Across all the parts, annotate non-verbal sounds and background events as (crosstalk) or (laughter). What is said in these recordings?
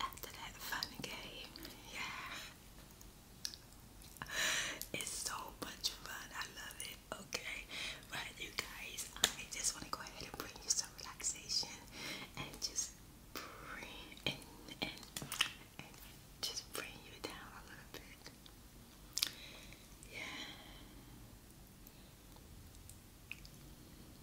After that fun game, yeah. It's so much fun. I love it. Okay, right, you guys. I just want to go ahead and bring you some relaxation and just bring and, and just bring you down a little bit. Yeah.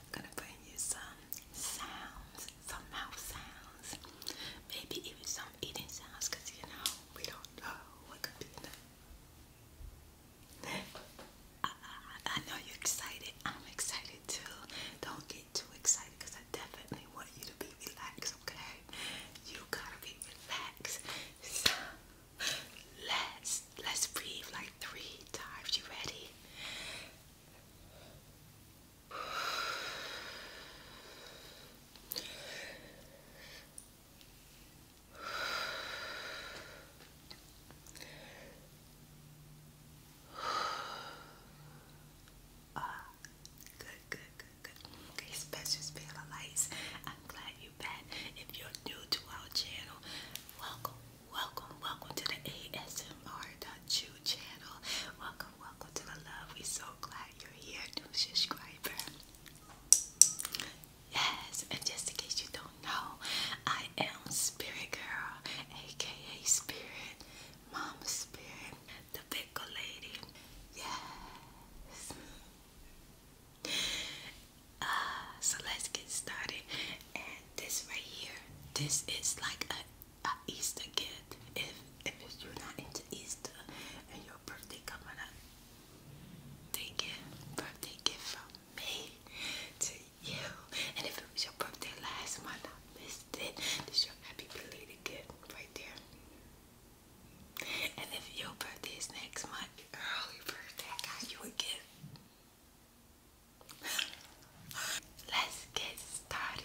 I'm gonna bring you some sounds, some mouth sounds, maybe even some eating sounds, you know we don't know what could be I, know you're excited. I'm excited too. Don't get too excited, cause I definitely want you to be relaxed, okay? You gotta be relaxed. So let's let's breathe like three times. You ready? Ah, good, good, good. Okay, Specials Vela Lights, I'm glad you're back. If you're new to our channel, welcome, welcome, welcome to the ASMR ASMR.chew channel. Welcome, welcome to the love. We're so glad you're here, new subscriber. Yes, and just in case you don't know, I am Spirit Girl, aka Spirit, Mama Spirit, the Pickle Lady. Yes. Uh, so let's get started. And this right here, this is like a, Easter gift. If if you're not into Easter and your birthday coming up, take it. Birthday gift from me to you. And if it was your birthday last month, I missed it. This is your happy belated gift right there. And if your birthday is next month, early birthday, I you a gift. (gasps) Let's get started.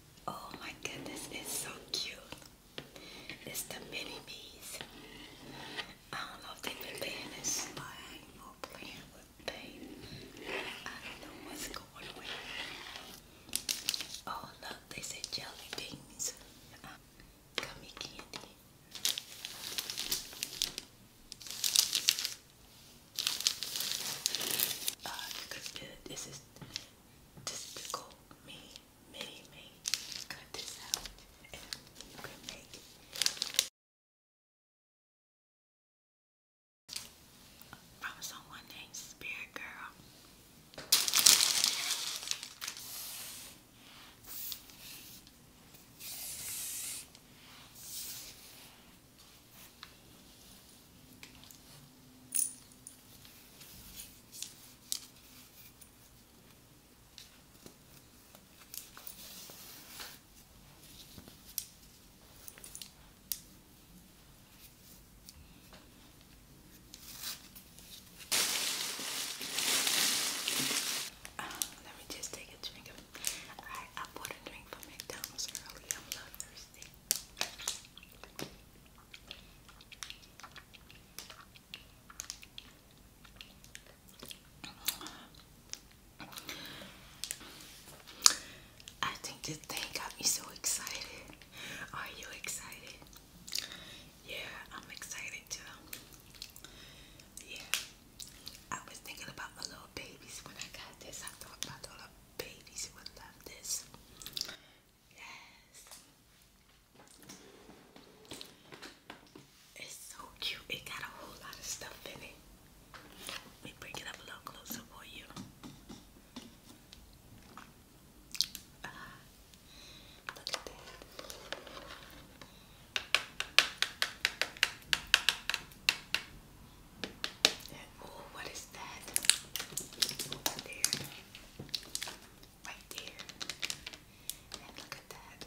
Oh my goodness, it's so cute. It's the mini bees. I don't know if they've been paying this or playing with paint. I don't know what's going on. Oh look, they say jelly beans. gummy candy. Uh, cause it, this is Despicable Me, Mini Me. Cut this out you can make from someone named Spirit Girl. Um, let me just take a drink. Of, I bought a drink from McDonald's earlier. I'm a thirsty. I think this thing got me so excited. Are you excited? Yeah, I'm excited too. Yeah, I was thinking about my little babies when I got this. I thought about the babies would love this. Yes. It's so cute. It got a whole lot of stuff in it. Let me bring it up a little closer for you. Ah, look at that. Oh, what is that? Over there. Right there. And look at that.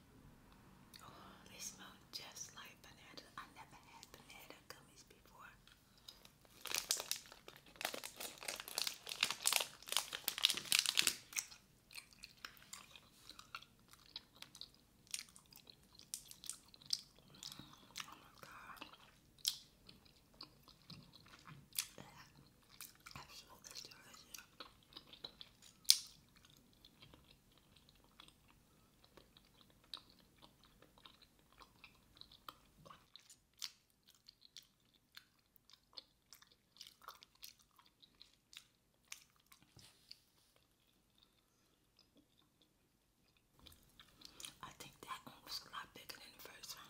Oh, they smell just like banana. I never had banana gummies before. Oh my god. Absolutely delicious. I think that one was a lot bigger than the first one.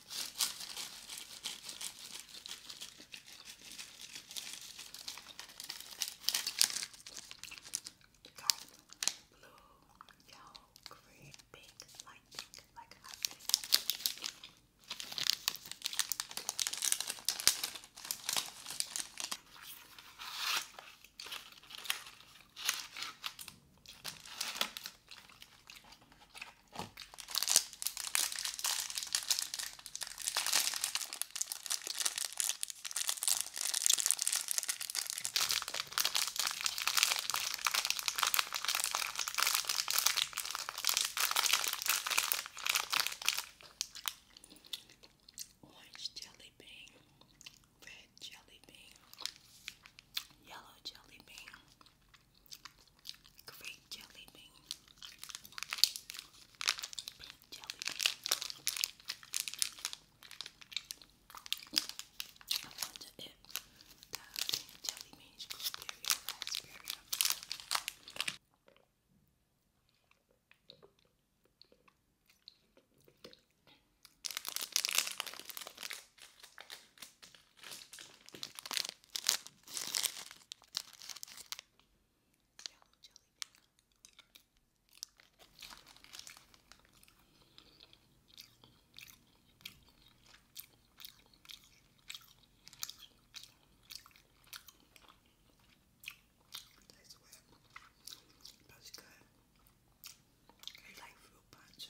You got blue, yellow, green, pink, light pink, like hot pink. Orange jelly bean, red jelly bean, yellow jelly bean, Grape jelly bean. jelly bean. jelly bean is blueberry Yellow jelly bean. That's where that's good. I like fruit punch.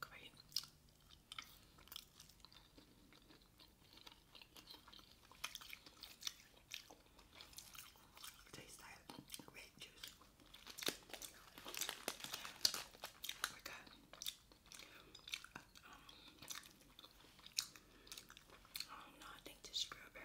Great. Taste that grape juice. We got uh, um, oh no, I think this strawberry.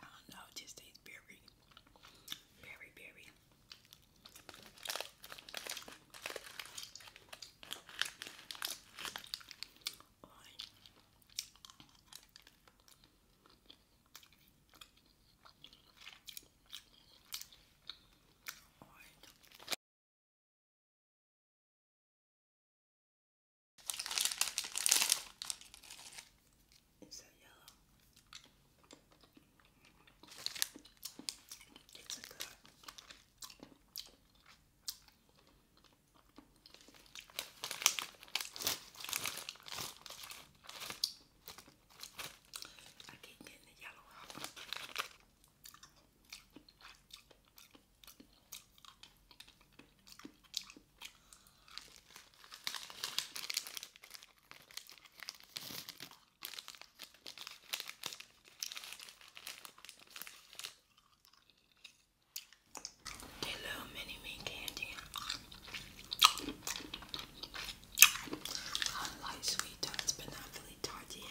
I don't know, just tastes very, very, very. It's a yellow. It's a good. I keep getting the yellow out. They little mini me candy. I like sweet tarts, but not really tarty.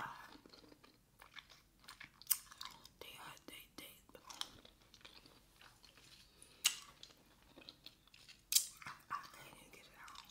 Uh, they are they they I, I can't even get it out.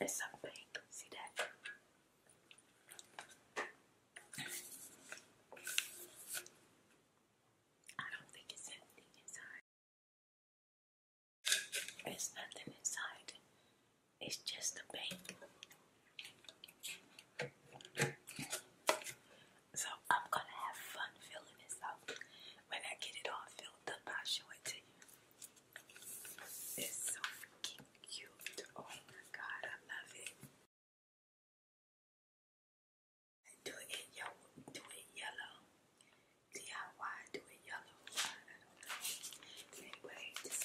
It's so pink. See that? I don't think it's anything inside. It's nothing inside. It's just a bank. So I'm gonna have fun filling this out. When I get it all filled up, i it to you. It's so freaking cute. Oh my god, I love it. Do it in Do it yellow. DIY. Do it yellow. Anyway, this is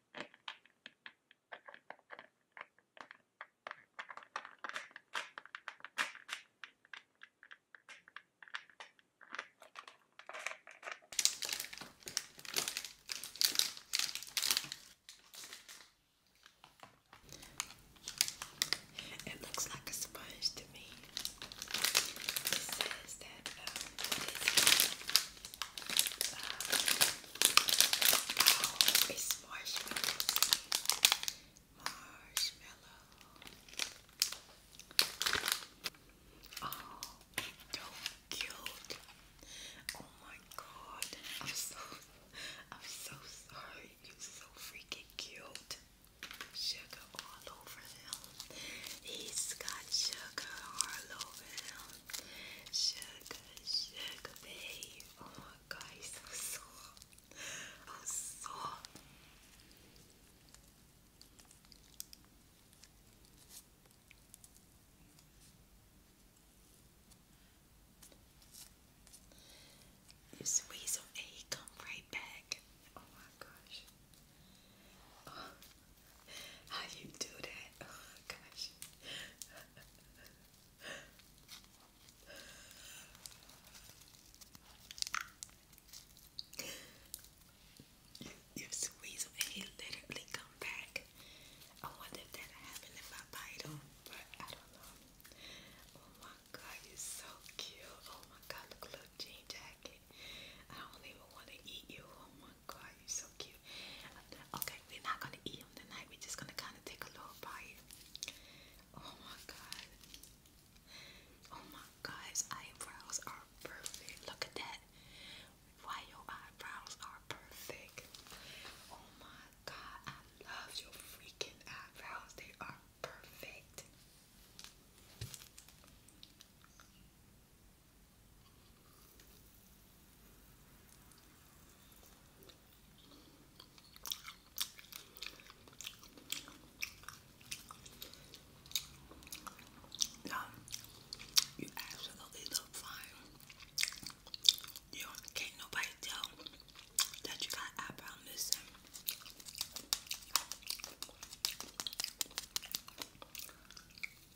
It looks like a sponge to me. It says that um, it is oh, it's marshmallows. Marshmallow. Oh, so cute. Oh my god. I'm so I'm so sorry. You're so freaking cute. Sugar all over them. He's got sugar all over him. Sugar, sugar, babe. Oh my god, he's so Oh, soft. You squeeze him and come right back. Oh my gosh. Oh. How you do that? Oh gosh. You, you squeeze him and he literally come back. I wonder if that happened if I bite him, but I don't know. Oh my god, you're so cute. Oh my god, look, little jean jacket. I don't even want to eat you. Oh god, you're so cute. Okay, we're not gonna eat them tonight. We're just gonna kind of take a little bite. Oh my god. Oh my god, his eyebrows are perfect. Look at that. Why your eyebrows are perfect. Oh my god, I love your freaking eyebrows. They are perfect. No, um, you absolutely look fine. You can't nobody tell that you got eyebrow missing.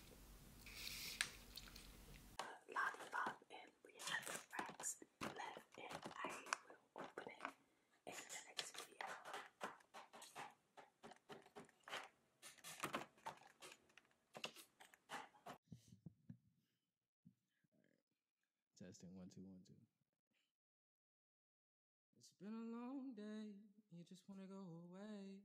lollipop and we have the racks left and I will open it in the next video. Testing one two one two. It's been a long day, you just wanna go away.